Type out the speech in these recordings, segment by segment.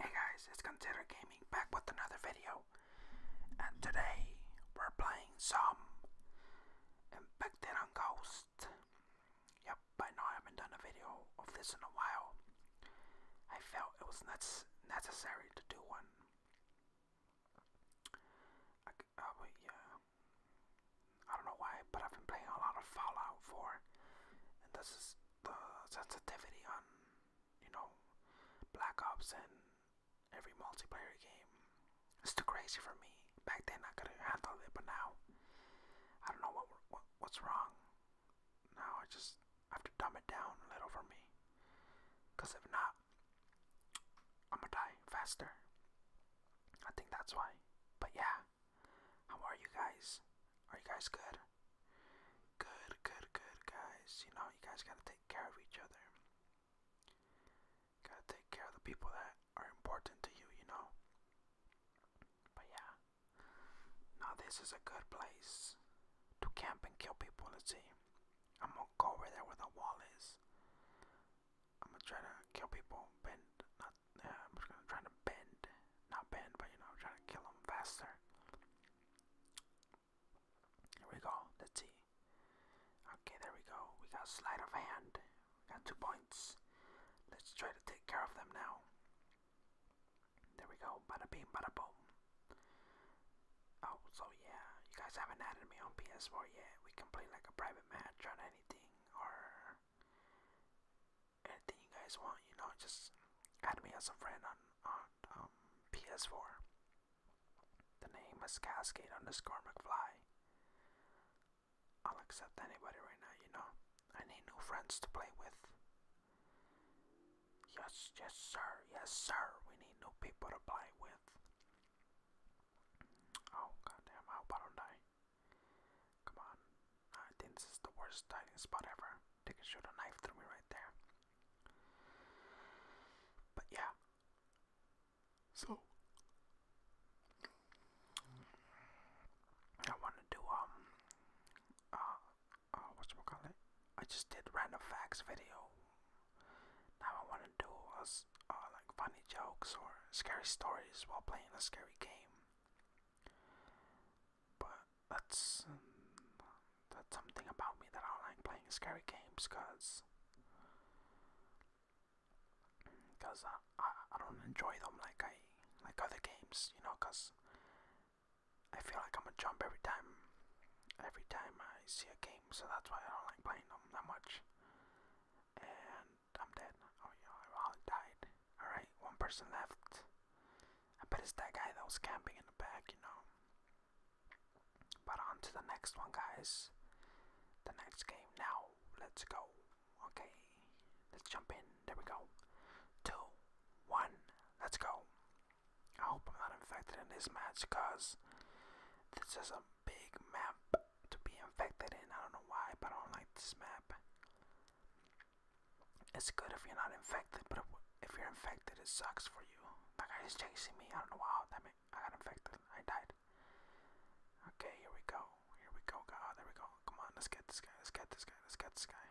Hey guys, it's Consider Gaming back with another video, and today we're playing some Infected on Ghost. Yep, by now I haven't done a video of this in a while. I felt it was necessary to do one. Oh, back. yeah, I don't know why, but I've been playing a lot of Fallout 4, and this is the sensitivity on, you know, Black Ops and every multiplayer game. It's too crazy for me. Back then I couldn't handle it, but now I don't know what what's wrong. Now I just have to dumb it down a little for me. Cause if not, I'm gonna die faster. I think that's why. But yeah, how are you guys? Are you guys good? Good, good, good, guys. You know, you guys gotta take care of each other. gotta take care of the people that are important to you, you know? But yeah, now this is a good place to camp and kill people. Let's see. I'm gonna go over there where the wall is. I'm gonna try to kill people, bend, not, yeah, I'm just gonna try to bend, not bend, but you know, I'm trying to kill them faster. Here we go, the T. Okay, there we go. We got sleight of hand. We got two points. Let's try to take care of them now. There we go, bada bing, bada boom. Oh, so yeah, you guys haven't added me on PS4 yet. We can play like a private match on anything or anything you guys want, you know, just add me as a friend on, on um, PS4. The name is Cascade on the underscore Fly. I'll accept anybody right now, you know. I need new friends to play with. Yes, yes, sir, yes, sir. We need new people to play with. Oh, goddamn, I hope die. Come on. I think this is the worst hiding spot ever. They can shoot a knife through me right there. But yeah. So. I want to um, uh, uh, oh, whatchamacallit, I just did random facts video. Now I want to do us uh, like funny jokes or scary stories while playing a scary game. But that's um, that's something about me that I don't like playing scary games, cause cause I I don't enjoy them like I like other games, you know, cause I feel like I'm gonna jump every time, every time I see a game, so that's why I don't like playing them that much. And I'm dead. Oh yeah, I all died. All right, one person left. I bet it's that guy that was camping in the back, you know. But on to the next one, guys. The next game now. Let's go. Okay, let's jump in. There we go. Two, one, let's go. I hope I'm not infected in this match because this is a big map to be infected in. I don't know why, but I don't like this map. It's good if you're not infected, but if you're infected, it sucks for you. That guy is chasing me. I don't know how. Damn it. I got infected. I died. Okay, here we go. Here we go. God, there we go. Come on, let's get this guy. Let's get this guy. Let's get this guy.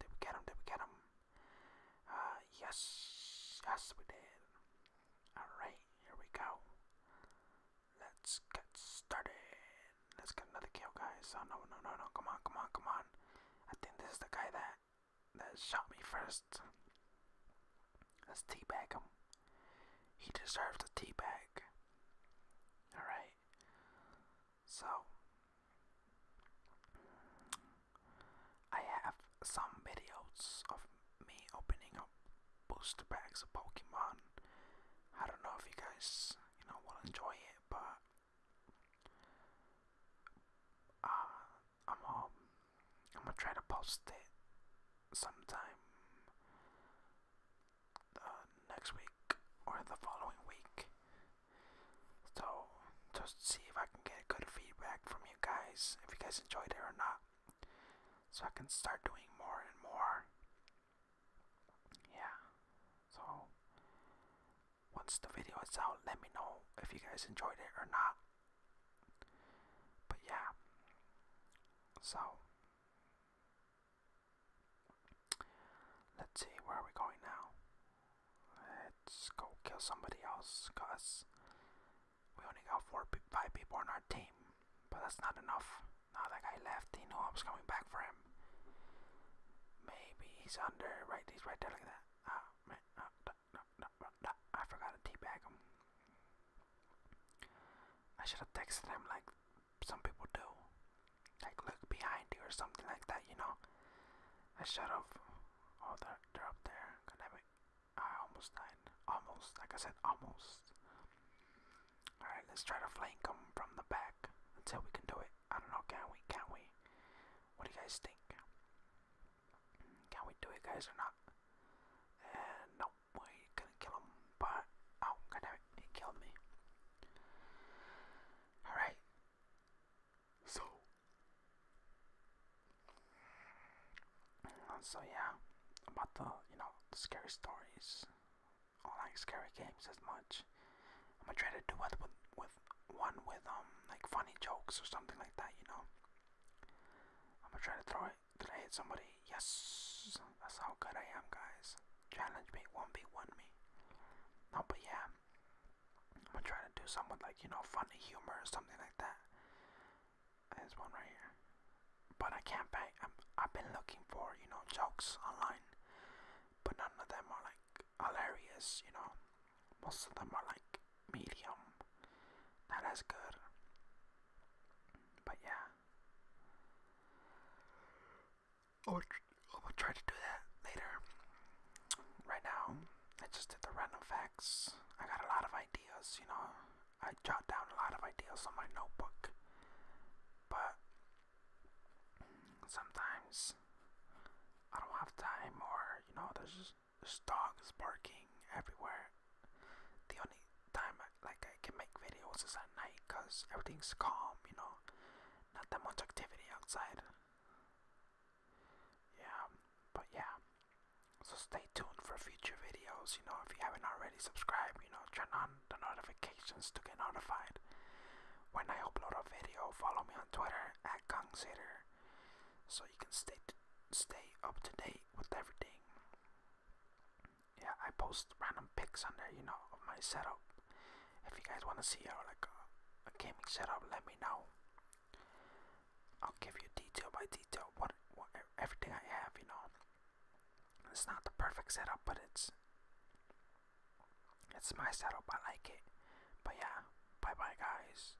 Did we get him? Did we get him? Uh, yes, yes, we did. Alright, here we go. Let's get started. Let's get another kill, guys. Oh, no, no, no, no. Come on, come on, come on. I think this is the guy that, that shot me first. Let's teabag him. He deserves a teabag. Alright. So, I have some videos of me opening up booster packs of Pokemon. I don't know if you guys, you know, will enjoy it, but uh, I'm all, um, I'm gonna try to post it sometime uh, next week or the following week. So just see if I can get good feedback from you guys, if you guys enjoyed it or not. So I can start doing more and more. Yeah. So once the video is out, let me know if you guys enjoyed it or not. But yeah. So Let's see, where are we going now? Let's go kill somebody else, cause we only got four, five people on our team, but that's not enough. Now that guy left, he knew I was coming back for him. Maybe he's under, right? He's right there, like that. Ah, oh, man, oh, da, da, da, I forgot to teabag him. I should have texted him like some people do. Like look behind you or something like that, you know. I shut off. Oh, they're, up there. God I almost died. Almost. Like I said, almost. Alright, let's try to flank them from the back until we can do it. I don't know, can we? Can we? What do you guys think? Can we do it, guys, or not? And nope why it gonna kill him, but oh goddammit, it killed me. Alright. So so yeah, about the you know, the scary stories. I like scary games as much. I'm gonna try to do it with with one with um like funny jokes or something like that, you know. I'm gonna try to throw it. I did I hit somebody? Yes. That's how good I am, guys. Challenge me, one v one me. No, but yeah, I'm gonna try to do something like you know, funny humor or something like that. There's one right here, but I can't bang. I'm, I've been looking for you know jokes online, but none of them are like hilarious. You know, most of them are like medium. Not good. But yeah, Oh, I will try to do that later. Right now, I just did the random facts. I got a lot of ideas, you know. I jot down a lot of ideas on my notebook. But sometimes I don't have time, or, you know, there's just there's dogs barking everywhere, the only time I, like I can make videos is at night because everything's calm, you know, not that much activity outside. Yeah, but yeah. So stay tuned for future videos. You know, if you haven't already subscribed, you know, turn on the notifications to get notified when I upload a video. Follow me on Twitter at Consider so you can stay stay up to date with everything. Yeah, I post random pics on there, you know, of my setup. If you guys want to see our like a, uh, a gaming setup, let me know. I'll give you detail by detail what, what everything I have, you know. It's not the perfect setup, but it's it's my setup. I like it. But yeah, bye bye guys.